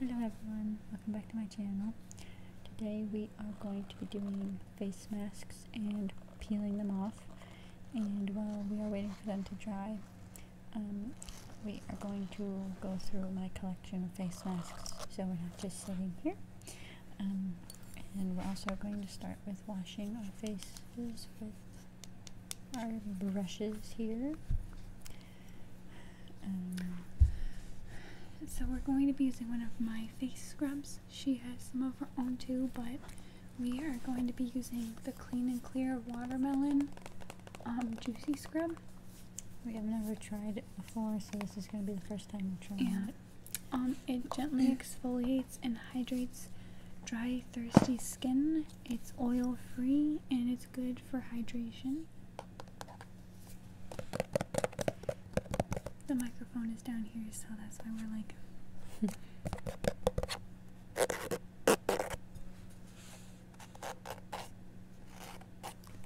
hello everyone welcome back to my channel today we are going to be doing face masks and peeling them off and while we are waiting for them to dry um, we are going to go through my collection of face masks so we're not just sitting here um, and we're also going to start with washing our faces with our brushes here um, so we're going to be using one of my face scrubs. She has some of her own too, but we are going to be using the Clean and Clear Watermelon um, Juicy Scrub. We have never tried it before, so this is going to be the first time we're trying it. Um, it gently mm. exfoliates and hydrates dry, thirsty skin. It's oil-free and it's good for hydration. The microphone is down here, so that's why we're like.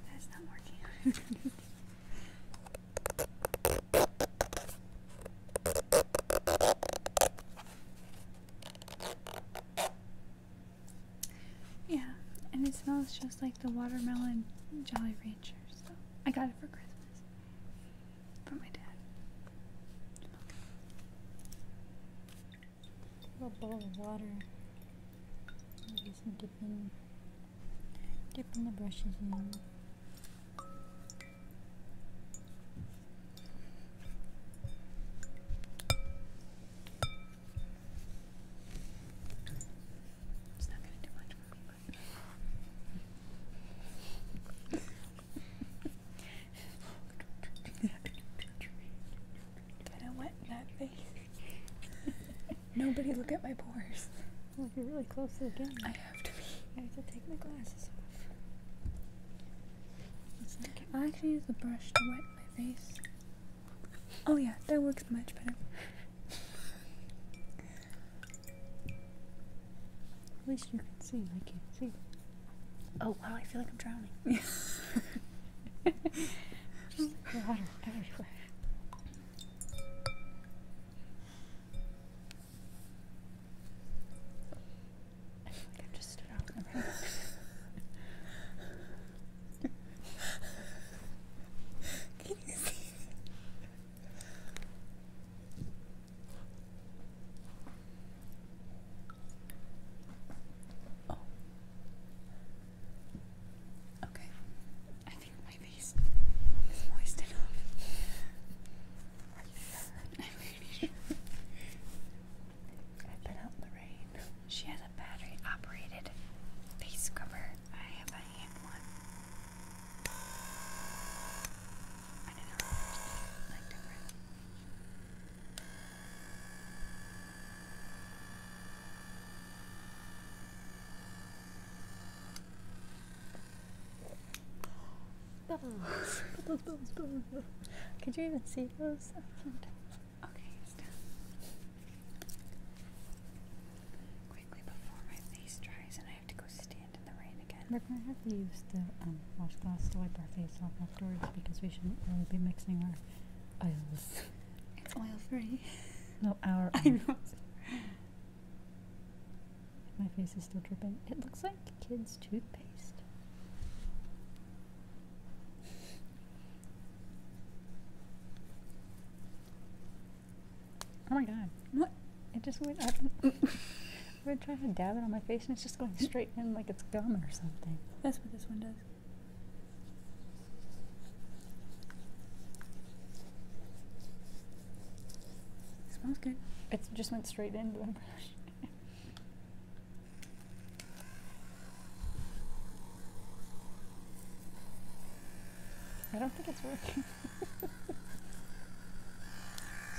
that's not working. Yeah, and it smells just like the watermelon Jolly Rancher. So I got it for Christmas from my dad. little bowl of water. Maybe some dipping, dipping the brushes in. It's not going to do much for me, wet that face? Nobody look at my pores. Well, really close to I have to I have to take my glasses off. I actually use a brush to wet my face. Oh yeah, that works much better. At least you can see. I can't see. Oh wow, I feel like I'm drowning. Just I feel just stood out in the room. Okay. I think my face is moist enough. She has a battery operated face scrubber. I have a hand one. I don't know Could you even see those? Okay, Quickly before my face dries and I have to go stand in the rain again. We're going to have to use the washcloth to wipe our face off afterwards because we shouldn't really be mixing our oils. it's oil free. No, our. I know. My face is still dripping. It looks like kids' toothpaste. Oh my god. What? It just went up. I've been trying to dab it on my face and it's just going straight in like it's gum or something. That's what this one does. It smells good. It just went straight into the brush. I don't think it's working. it's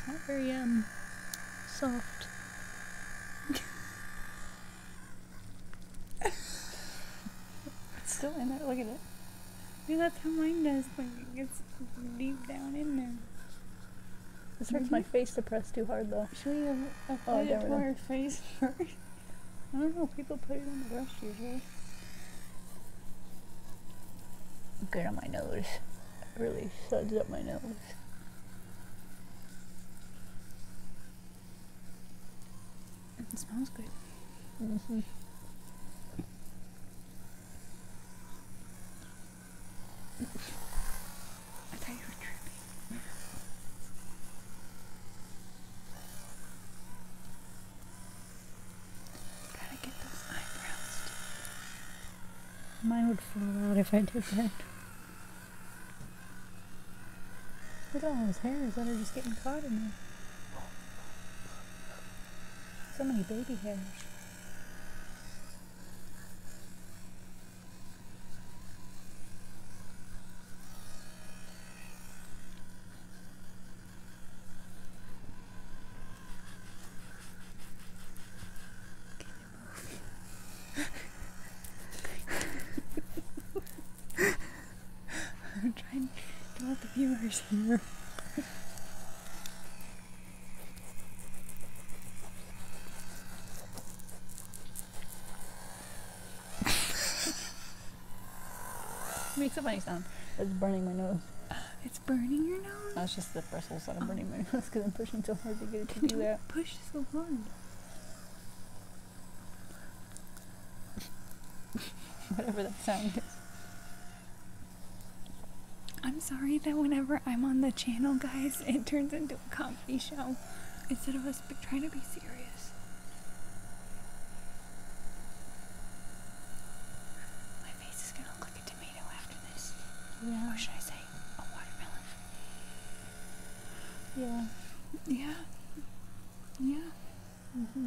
not very, um, soft. it's still in there, look at it. Yeah, that's how mine does, it gets deep down in there. This hurts my mm-hmm. face to press too hard though. Should we apply oh, it to our face first? I don't know, people put it on the brush usually. Good on my nose. It really suds up my nose. It smells good. -hmm. Gotta get those eyebrows. Mine would fall out if I did that. Look at all those hairs that are just getting caught in there. So many baby hairs move? I'm trying to let the viewers hear. Makes a funny sound. It's burning my nose. It's burning your nose? That's just the bristles that are burning my nose because I'm pushing so hard to get it to do that. Push so hard. Whatever that sound is. I'm sorry that whenever I'm on the channel, guys, it turns into do a comedy show instead of us trying to be serious. My face is gonna look like a tomato after this. Or should I say a watermelon? Yeah. Yeah. Yeah. Mm-hmm.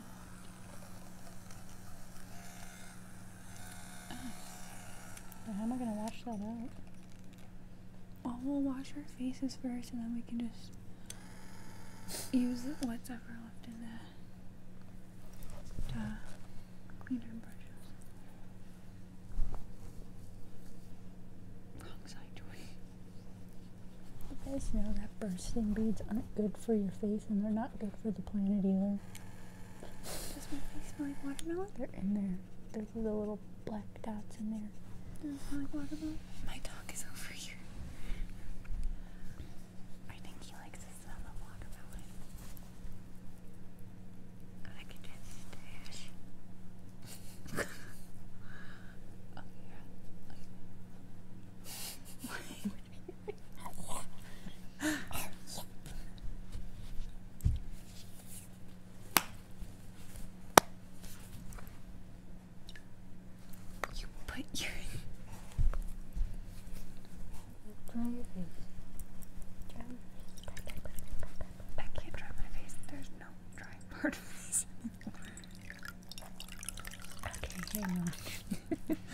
Uh. how am I gonna wash that out? Well, we'll wash our faces first and then we can just use whatever's left in the, the cleaner brushes. Wrong side, Joy. You guys know that bursting beads aren't good for your face and they're not good for the planet either. Does my face smell like watermelon? They're in there. There's the little black dots in there. My dog is over here. I think he likes the smell of watermelon. I could just stash. oh, yeah. You put your I can't dry my face. There's no dry part of okay, hang on.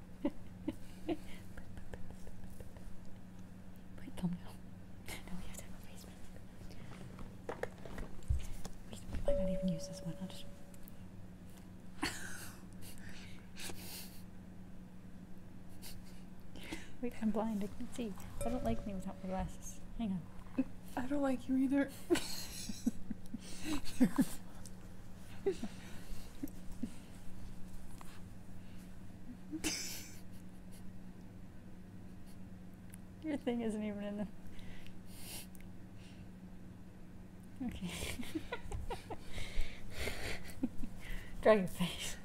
My thumbnail. No, we have to have a We, might not even use this one. Wait, I'm blind. I can't see. I don't like me without my glasses. Hang on. I don't like you either. Your thing isn't even in the. Okay. your face.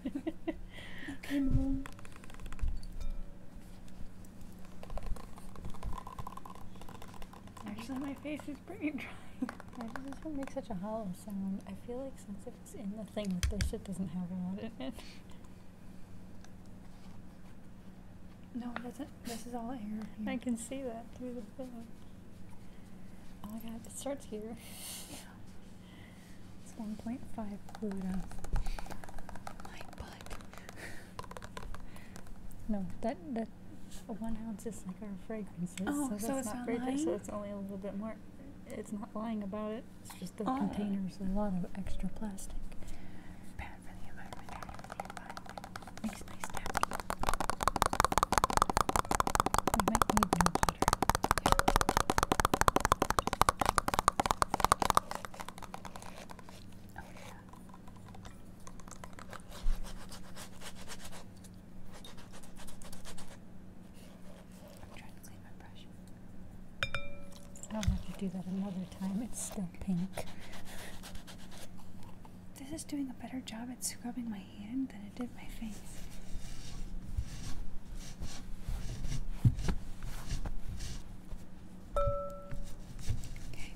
Actually, my face is pretty dry. Why does this one make such a hollow sound? I feel like sensitive six in the thing with this, it doesn't have a lot in it. No, it doesn't. This is all air. I can see that through the thing. Oh my god, it starts here. It's 1.5 Pluto. My butt. no, that, that one ounce is like our fragrance. Oh, so, so not, not so it's only a little bit more. It's not lying about it. It's just the oh. containers. A lot of extra plastic. Bad for the environment. Bad for I'm trying to clean my brush. I'll have to do that another time. It's still pink. This is doing a better job at scrubbing my hand than it did my face. Okay.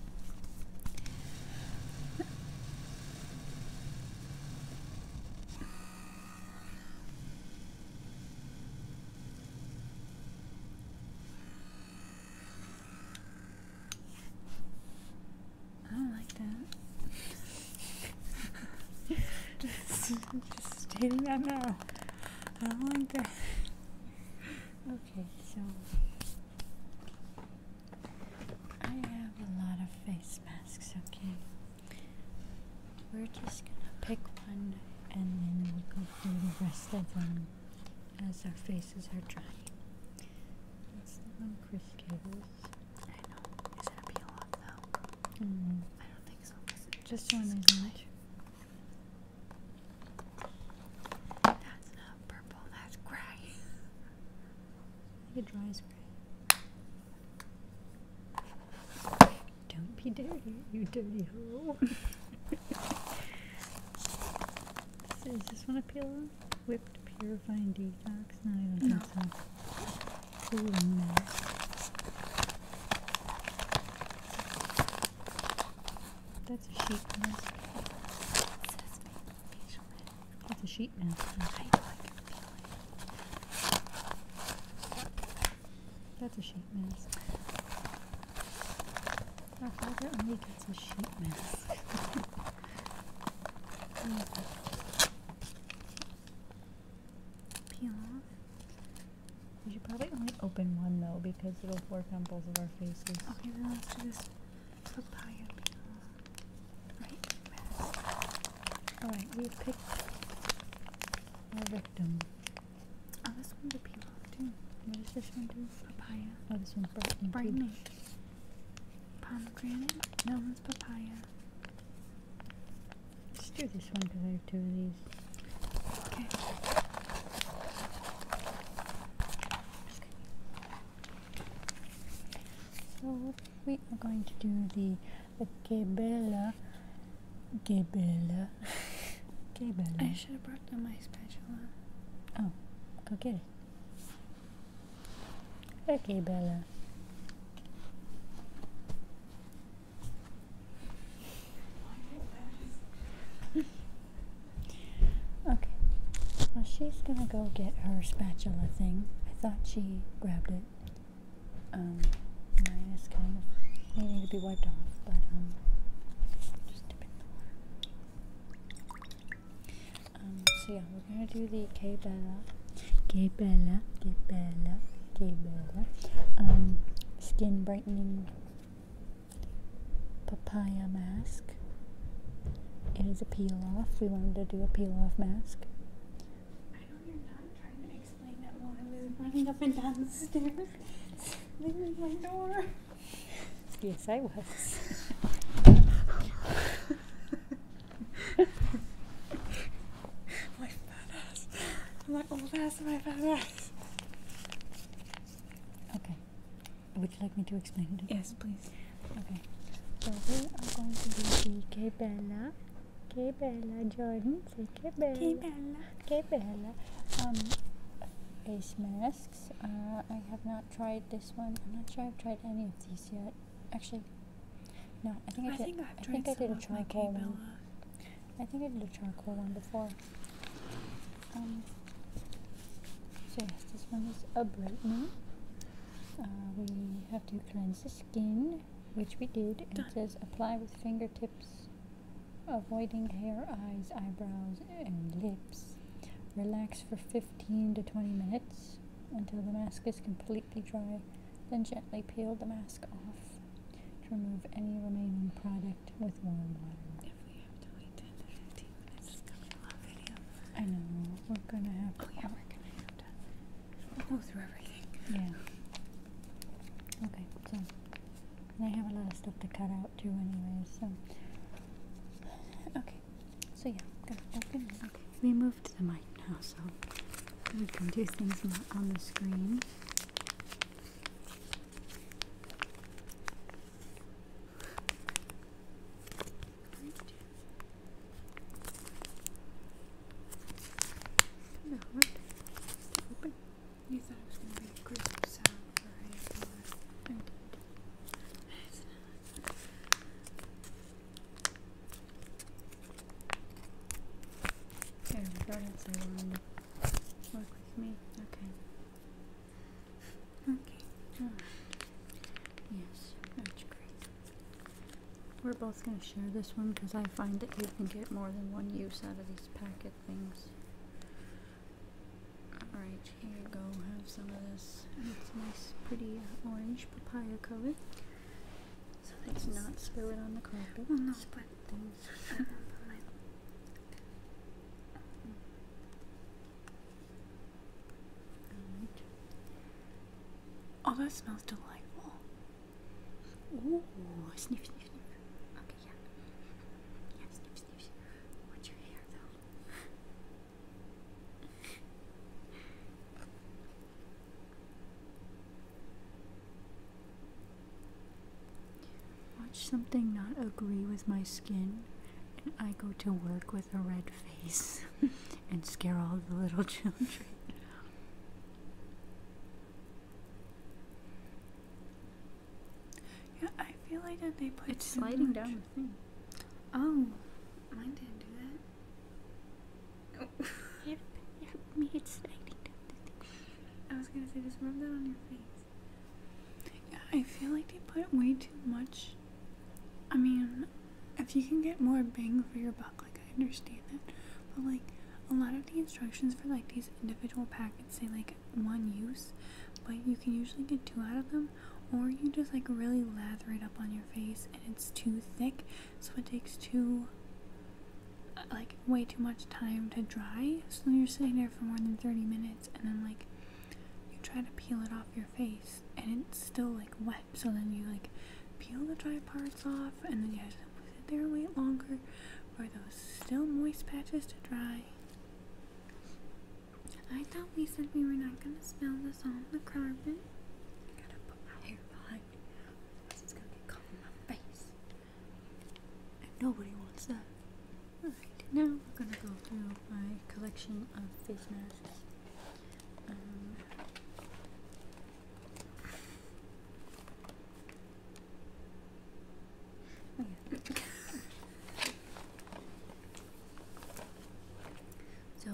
I don't like that. just, just stating that now. I don't like that. Okay, so I have a lot of face masks, okay? We're just gonna pick one and then we'll go through the rest of them as our faces are drying. That's the one Chris gives. I know. to be a lot, though? Mm. I don't think so. Just one is much. That's not purple, that's gray. it dries gray. Don't be dirty, you dirty hoe. is this one a peel? Whipped purifying detox? No, I not no. think That's a sheep mask. mask. That's a sheet mask. That's a sheet mask. My father only gets a sheet mask. Peel off. We should probably only open one though because it'll work on both of our faces. Okay, let's do this papaya peel Alright, we picked our victim. Oh, this one's a peeler too. What this one do? Papaya. Oh, this one's brightening. Pomegranate. No, one's papaya. Let's do this one because I have two of these. Okay. okay. So we are going to do the Okay, Bella. Bella. Okay, Bella. I should have brought down my spatula. Oh, okay. Okay, Bella. okay. Well, she's gonna go get her spatula thing. I thought she grabbed it um, mine needing to be wiped off, but um, um so yeah, we're gonna do the K Bella, K Bella, K Bella, K Bella, um, skin brightening papaya mask. It is a peel off. We wanted to do a peel off mask. I'm not trying to explain that while I was running up and down the stairs. Leaving my door. Yes, I was. my fat ass. My old ass and my fat ass. Okay. Would you like me to explain it? Yes, please. Okay, so we are going to do the K Bella, K Bella Jordan, say K Bella, K Bella, K Bella. Um, face masks. Uh, I have not tried this one. I'm not sure I've tried any of these yet. Actually, no. I think I, I did. Think I've I think I did a charcoal one. I think I did a charcoal one before. Um, so yes, this one is a brightening. Uh, we have to cleanse the skin, which we did. It says apply with fingertips, avoiding hair, eyes, eyebrows, and lips. Relax for 15 to 20 minutes until the mask is completely dry, then gently peel the mask off to remove any remaining product with warm water. I know, we're going to have oh, yeah, we're going to to go through everything. Yeah. Okay, so I have a lot of stuff to cut out too, anyways. So okay, so yeah, got that in. Okay, we moved the mic now, so we can do things on the screen. You thought it was going to be a gruesome sound for ASMR. I Okay, work with me. Okay. Okay, Yes, that's great. We're both going to share this one because I find that you can get more than one use out of these packet things. Alright, here you go. Have some of this. It's nice, pretty uh, orange papaya color. So let's not spill it on the carpet. Well, no, but things. I my mm. Alright. Oh, that smells delightful. Ooh, sniff, sniff, sniff. Okay, yeah. Yeah, sniff, sniff. What's your hair, though? Watch something not agree with my skin, and I go to work with a red face. and scare all the little children. yeah, I feel like they put It's sliding down the thing. Oh, mine didn't do that. yep, yep, me, it's sliding down the thing. I was gonna say, just rub that on your face. Yeah, I feel like they put way too much I mean, if you can get more bang for your buck, like I understand that, but like a lot of the instructions for like these individual packets say like one use, but you can usually get two out of them, or you just like really lather it up on your face and it's too thick, so it takes too uh, like way too much time to dry. So you're sitting there for more than 30 minutes and then like you try to peel it off your face and it's still like wet. So then you like peel the dry parts off and then you have to sit there and wait longer for those still moist patches to dry. I thought we said we were not gonna spill this on the carpet. I gotta put my hair behind me because it's gonna get caught in my face. And nobody wants that. Alright, now we're gonna go through my collection of face masks so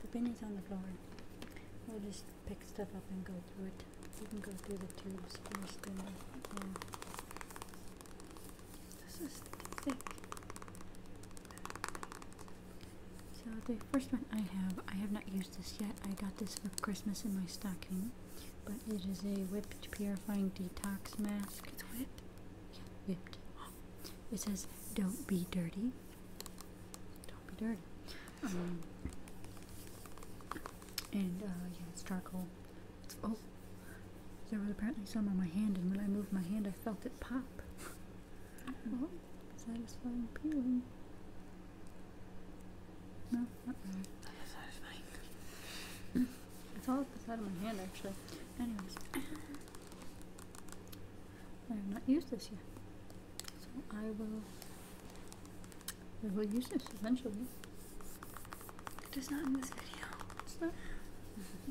the pin is on the floor. We'll just pick stuff up and go through it. You can go through the tubes first and then. This is thick. So the first one I have, I have not used this yet. I got this for Christmas in my stocking, but it is a whipped purifying detox mask. It's whipped. Yeah, whipped. It says, "Don't be dirty." Don't be dirty. Um, and uh, yeah, it's charcoal. It's, oh, there was apparently some on my hand, and when I moved my hand, I felt it pop. Oh, satisfying peeling. No, not really. satisfying. it's all up the side of my hand, actually. Anyways, I have not used this yet. So I will. I will use this eventually. It is not in this video. It's not.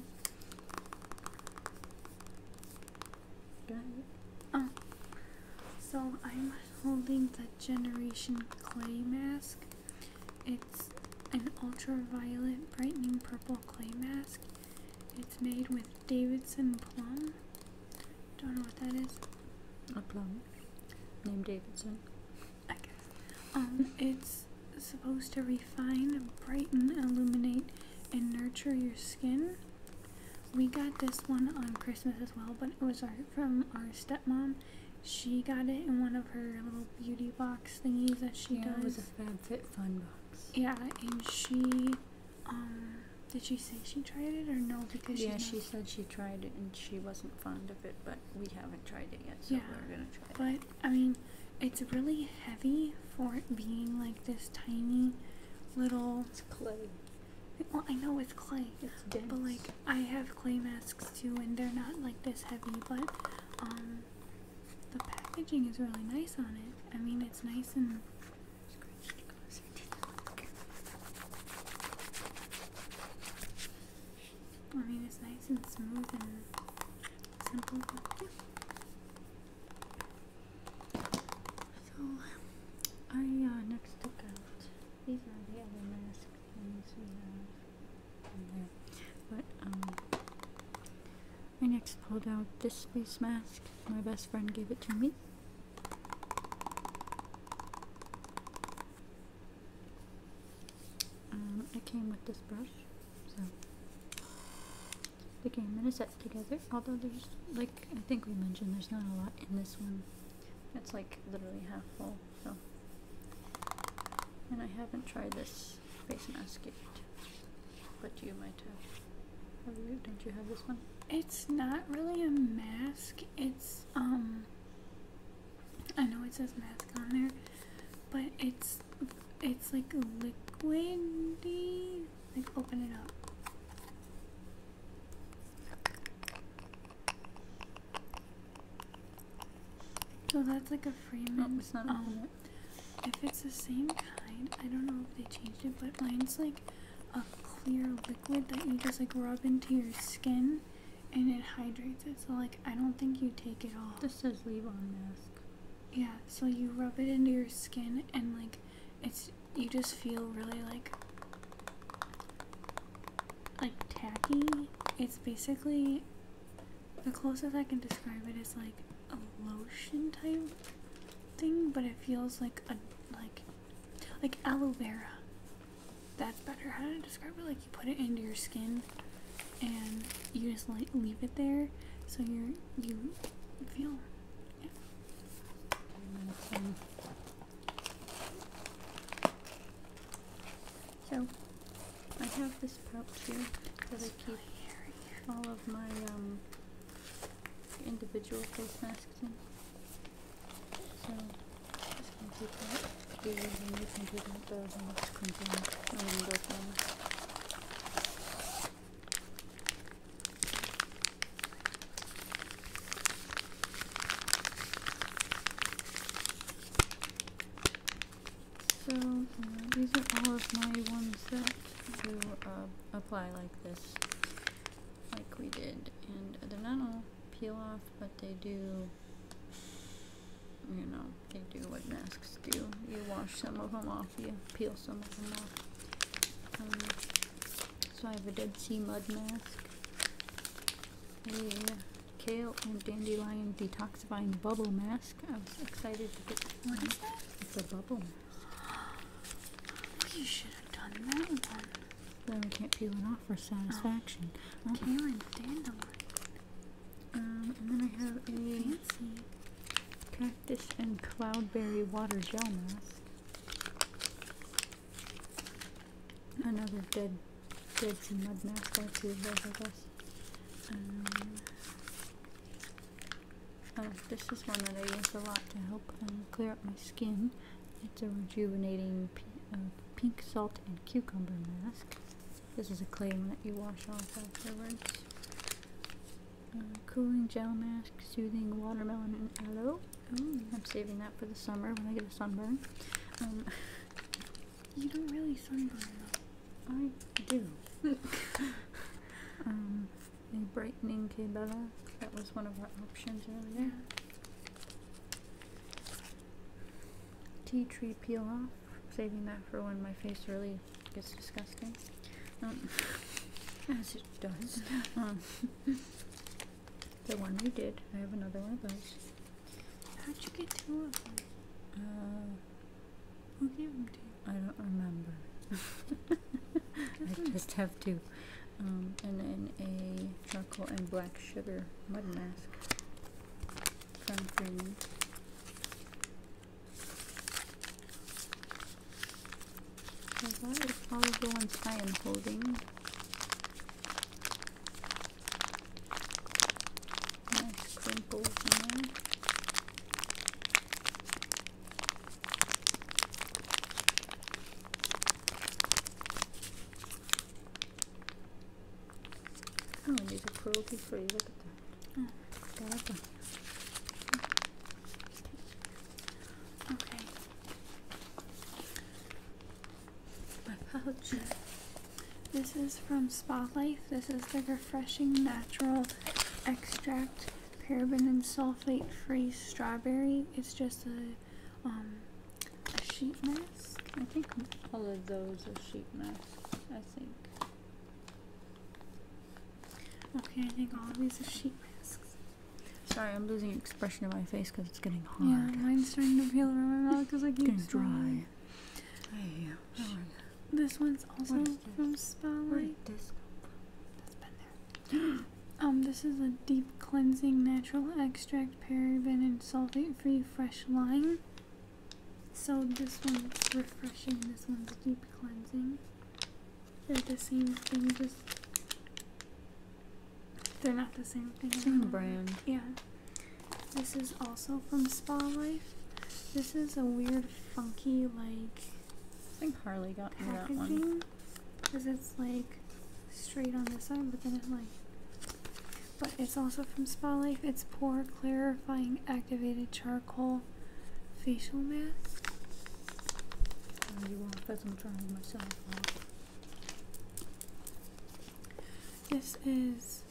Oh. So I'm holding the Generation Clay Mask. It's an ultraviolet brightening purple clay mask. It's made with Davidson plum. Don't know what that is. A plum. Named Davidson. I guess. Um, it's supposed to refine, brighten, illuminate, and nurture your skin. We got this one on Christmas as well, but it was from our stepmom. She got it in one of her little beauty box things that she does. the it was a FabFitFun box. Yeah, and she, um, did she say she tried it or no? Because yeah, she said she tried it and she wasn't fond of it, but we haven't tried it yet, so we're gonna try it. But I mean, it's really heavy for it being like this tiny little it's clay. Well, I know it's clay. It's But like, I have clay masks too, and they're not like this heavy. But um, the packaging is really nice on it. I mean, it's nice and. I mean, it's nice and smooth and simple. So I uh, next took out these are the other mask things we have in But um I next pulled out this face mask. My best friend gave it to me. Um, it came with this brush, so the game in a set together. Although there's, like I think we mentioned, there's not a lot in this one. It's like literally half full. So, and I haven't tried this face mask yet, but you might have. Have you? Don't you have this one? It's not really a mask. It's um. I know it says mask on there, but it's it's like liquidy like open it up. So that's like a Freeman. No, oh, it's not If it's the same kind, I don't know if they changed it, but mine's like a clear liquid that you just like rub into your skin and it hydrates it. So like I don't think you take it off. This says leave on mask. Yeah, so you rub it into your skin and like it's you just feel really like like tacky. It's basically the closest I can describe it is like a lotion type thing, but it feels like a like like aloe vera. That's better. How to describe it? Like you put it into your skin and you just like leave it there, so you you feel. Yeah so, I have this pouch here that I keep all of my um, individual face masks in. So, I'm just going to take that. You can take that, though, and just so, uh, these are all of my ones that do uh, apply like this, like we did. And they're not all peel off, but they do, you know, they do what masks do. You wash some of them off, you peel some of them off. Um, so I have a Dead Sea Mud Mask, a Kale and Dandelion Detoxifying Bubble Mask. I am excited to get that one. What is that? It's a bubble You should have done that one. Then we can't peel it off for satisfaction. Oh. oh. Kale and Dandelion. Um, and then I have a Cactus and cloudberry water gel mask. Another dead, dead sea mud mask. I two of those, I guess. Um, oh, this is one that I use a lot to help um, clear up my skin. It's a rejuvenating uh, pink salt and cucumber mask. This is a clay that you wash off afterwards cooling gel mask, soothing watermelon and aloe. I'm saving that for the summer when I get a sunburn. Um, you don't really sunburn though. I do. um, a brightening Kebella. That was one of our options there. Tea tree peel off. Saving that for when my face really really gets disgusting. Um, as it does. Um, the one we did, I have another one How'd you get two of them? Uh, Who gave them to you? I don't remember. I just have two. Um, and then a charcoal and black sugar mud mask from Green. Why is all the ones I am holding? Nice crimples Oh, these are free, look at that. Ah, Okay. My pouch. This is from Spa This is the refreshing natural extract paraben and sulfate free strawberry. It's just a um, sheet mask. I think all of those are sheet masks. I think. Okay, I think all of these are sheet masks. Sorry, I'm losing expression in my face because it's getting hard. Yeah, mine's starting to peel around my mouth because I keep getting dry. Oh this one's also from Spotlight. This? um, this is a deep cleansing natural extract, paraben and sulfate-free fresh lime. So this one's refreshing. This one's deep cleansing. They're the same thing, just they're not the same thing. Same mm-hmm. brand. Yeah. This is also from Spa Life. This is a weird, funky, like. I think Harley got me that one. Because it's like straight on this side, but then it like. But it's also from Spa Life. It's pore clarifying activated charcoal facial mask. I oh, really want because I'm trying to myself This is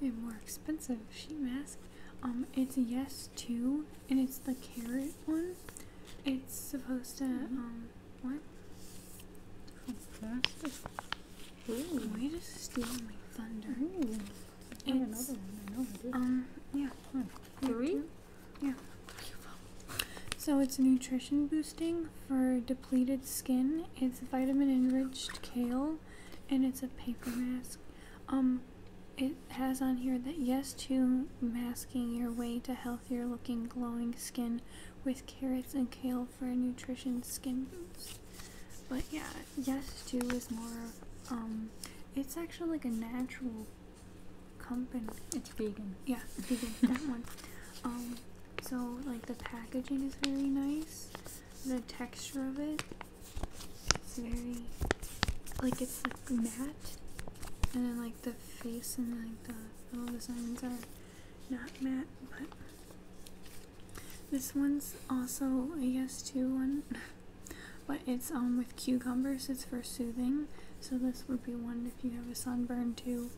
a more expensive sheet mask. Um, it's yes two, and it's the carrot one. It's supposed to mm-hmm. um what? Fantastic. Ooh. Way just steal my thunder. Ooh. It's, another one. I know it is. Um, yeah. Huh. Three? Yeah, So it's nutrition boosting for depleted skin. It's vitamin enriched kale, and it's a paper mask. Um, it has on here that yes to masking your way to healthier looking glowing skin with carrots and kale for a nutrition skin boost. But yeah, yes to is more um, it's actually like a natural company. It's vegan. Yeah, vegan. that one. Um, so like the packaging is very nice. The texture of it, it's very like it's like matte, and then like the face and like the all the signs are not matte, but this one's also I guess two one. But it's um with cucumbers, it's for soothing. So this would be one if you have a sunburn too.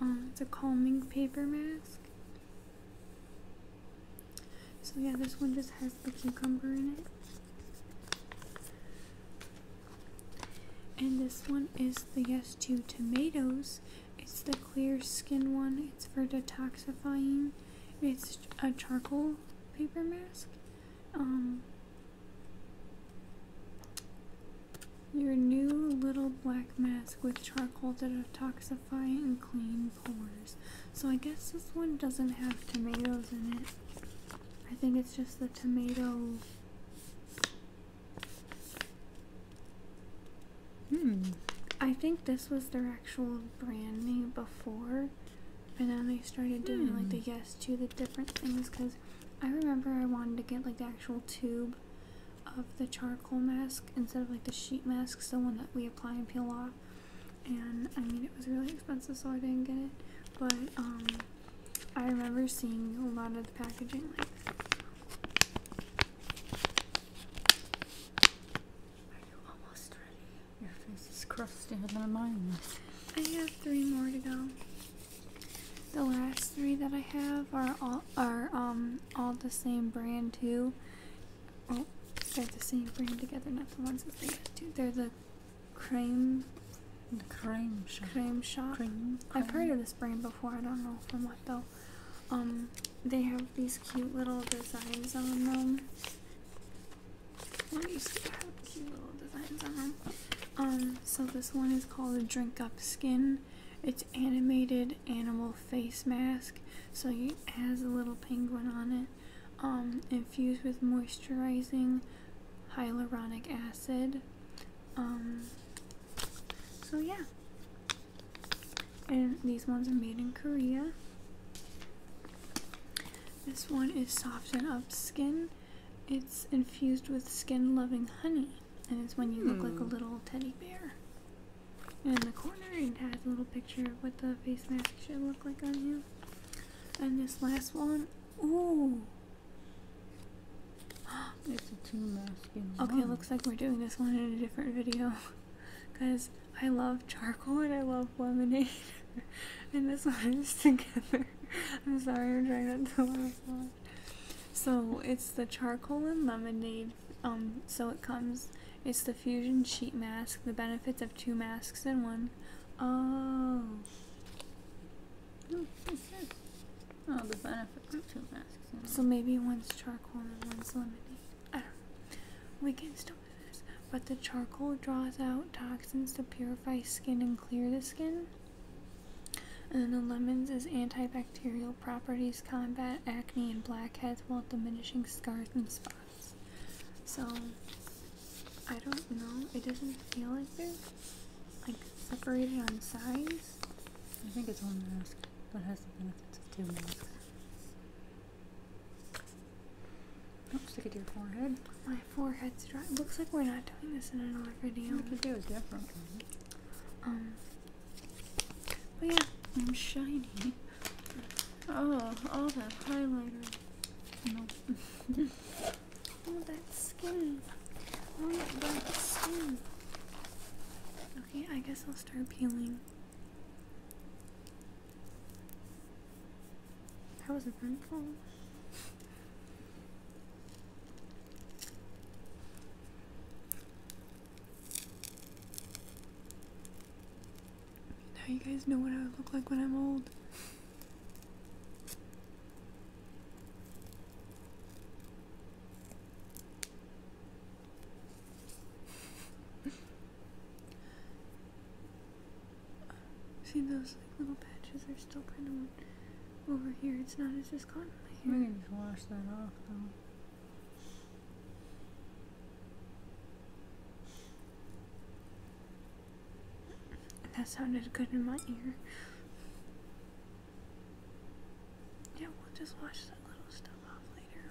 Um, it's a calming paper mask. So yeah, this one just has the cucumber in it. And this one is the Yes to Tomatoes. It's the clear skin one. It's for detoxifying. It's a charcoal paper mask. Um, your new little black mask with charcoal to detoxify and clean pores. So I guess this one doesn't have tomatoes in it. I think it's just the tomato. Hmm. I think this was their actual brand name before, and then they started doing like hmm. the yes to the different things because I remember I wanted to get like the actual tube of the charcoal mask instead of like the sheet mask, the one that we apply and peel off. And I mean, it was really expensive, so I didn't get it. But um, I remember seeing a lot of the packaging like. Your face is crustier than mine was. I have three more to go. The last three that I have are all are um all the same brand too. Oh, they're the same brand together, not the ones that they got two. They're the cream. The cream shop. Cream shop. Cream, cream. I've heard of this brand before. I don't know from what though. Um, they have these cute little designs on them. Let me see. have cute little designs on um, so this one is called the Drink Up Skin. It's animated animal face mask. So it has a little penguin on it. Um, infused with moisturizing hyaluronic acid. Um, so yeah. And these ones are made in Korea. This one is soften up skin. It's infused with skin loving honey, and it's when you look like a hmm. little teddy bear. And in the corner, it has a little picture of what the face mask should look like on you. And this last one, ooh. it's a two mask. Okay, one. looks like we're doing this one in a different video, because I love charcoal and I love lemonade and this one is together. I'm sorry, I'm trying to laugh so much. So it's the charcoal and lemonade. Um, so it comes. It's the fusion sheet mask. The benefits of two masks in one. Oh. Oh, the benefits of two masks. So maybe one's charcoal and one's lemonade. I don't know. We can still but the charcoal draws out toxins to purify skin and clear the skin. And the lemons is antibacterial properties combat acne and blackheads while diminishing scars and spots. So I don't know. It doesn't feel like they're like separated on size. I think it's one mask, that has the benefits of two masks. Don't stick it to your forehead. My forehead's dry. Looks like we're not doing this in another video. We could do it different. Um. But yeah, I'm shiny. Oh, all that highlighter. No. all that skin. All that skin. Okay, I guess I'll start peeling. That was eventful. Now you guys know what I would look like when I'm old. See those like little patches are still kind of over here. It's not as just cotton here. We can just wash that off though. That sounded good in my ear. Yeah, we'll just wash that little stuff off later.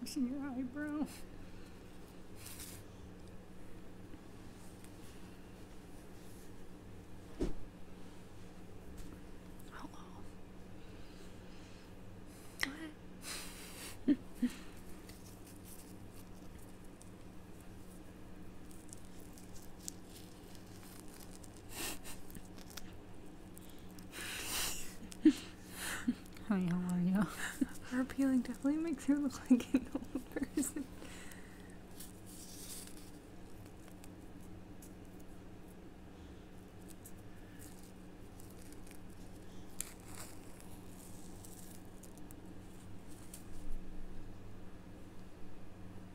What's in your eyebrow. Hi, how are you? Her peeling definitely makes her look like an old person.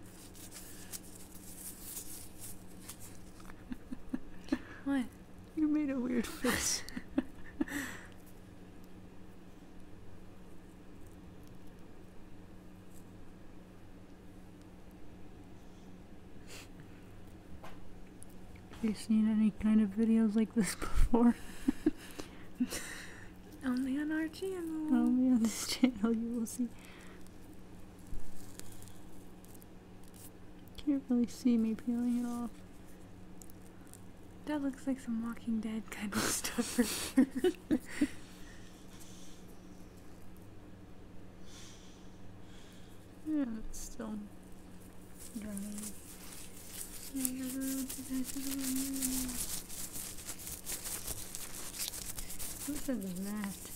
What? You made a weird face. Have you seen any kind of videos like this before? Only on our channel. Only on this channel you will see can't really see me peeling it off. That looks like some Walking Dead kind of stuff yeah, it's still dry. What is that?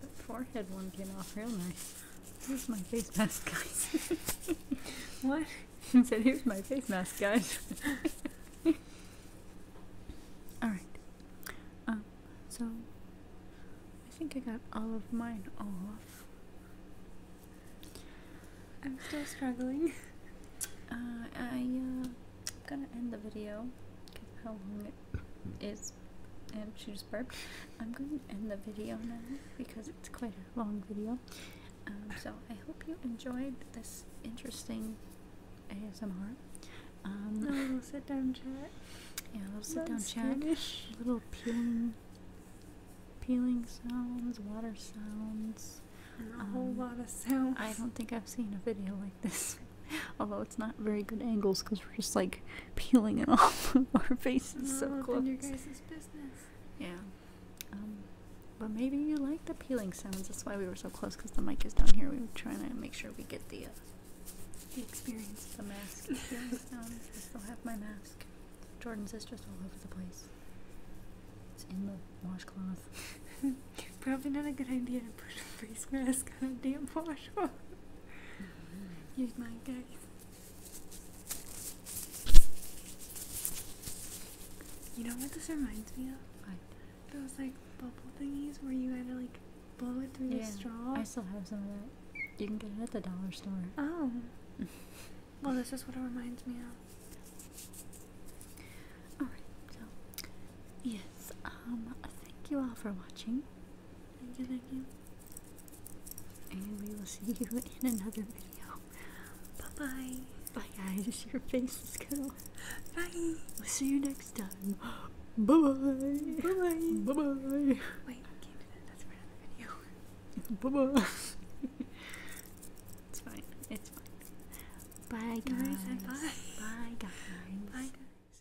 The forehead one came off real nice. Here's my face mask, guys. what? She said, here's my face mask, guys. Alright. Um, so, I think I got all of mine off. I'm still struggling. Uh, I, am uh, gonna end the video because how long is and she just burped. I'm going to end the video now because it's quite a long video. Um, so I hope you enjoyed this interesting ASMR. Um, a little sit down chat. Yeah, a little sit down chat. Little peeling, peeling sounds, water sounds. And a um, whole lot of sounds. I don't think I've seen a video like this Although it's not very good angles because we're just like peeling it off our faces oh, so close. Yeah. Um, but maybe you like the peeling sounds. That's why we were so close because the mic is down here. We were trying to make sure we get the uh, experience of the mask. I still have my mask. Jordan's is just all over the place. It's in the washcloth. Probably not a good idea to put a face mask on a damp washcloth. You know what this reminds me of? Those like bubble thingies where you had to like blow it through the straw. I still have some of that. You can get it at the dollar store. Oh. well, this is what it reminds me of. Alright, so yes, um, thank you all for watching. Thank you, thank you. And we will see you in another video. Bye bye. Bye guys, your face is cool. Bye. We'll see you next time. Bye bye. Bye bye. Bye bye. Wait, I can't do that. That's for another video. bye bye. it's fine. It's fine. Bye guys. Bye. Bye guys. Bye guys.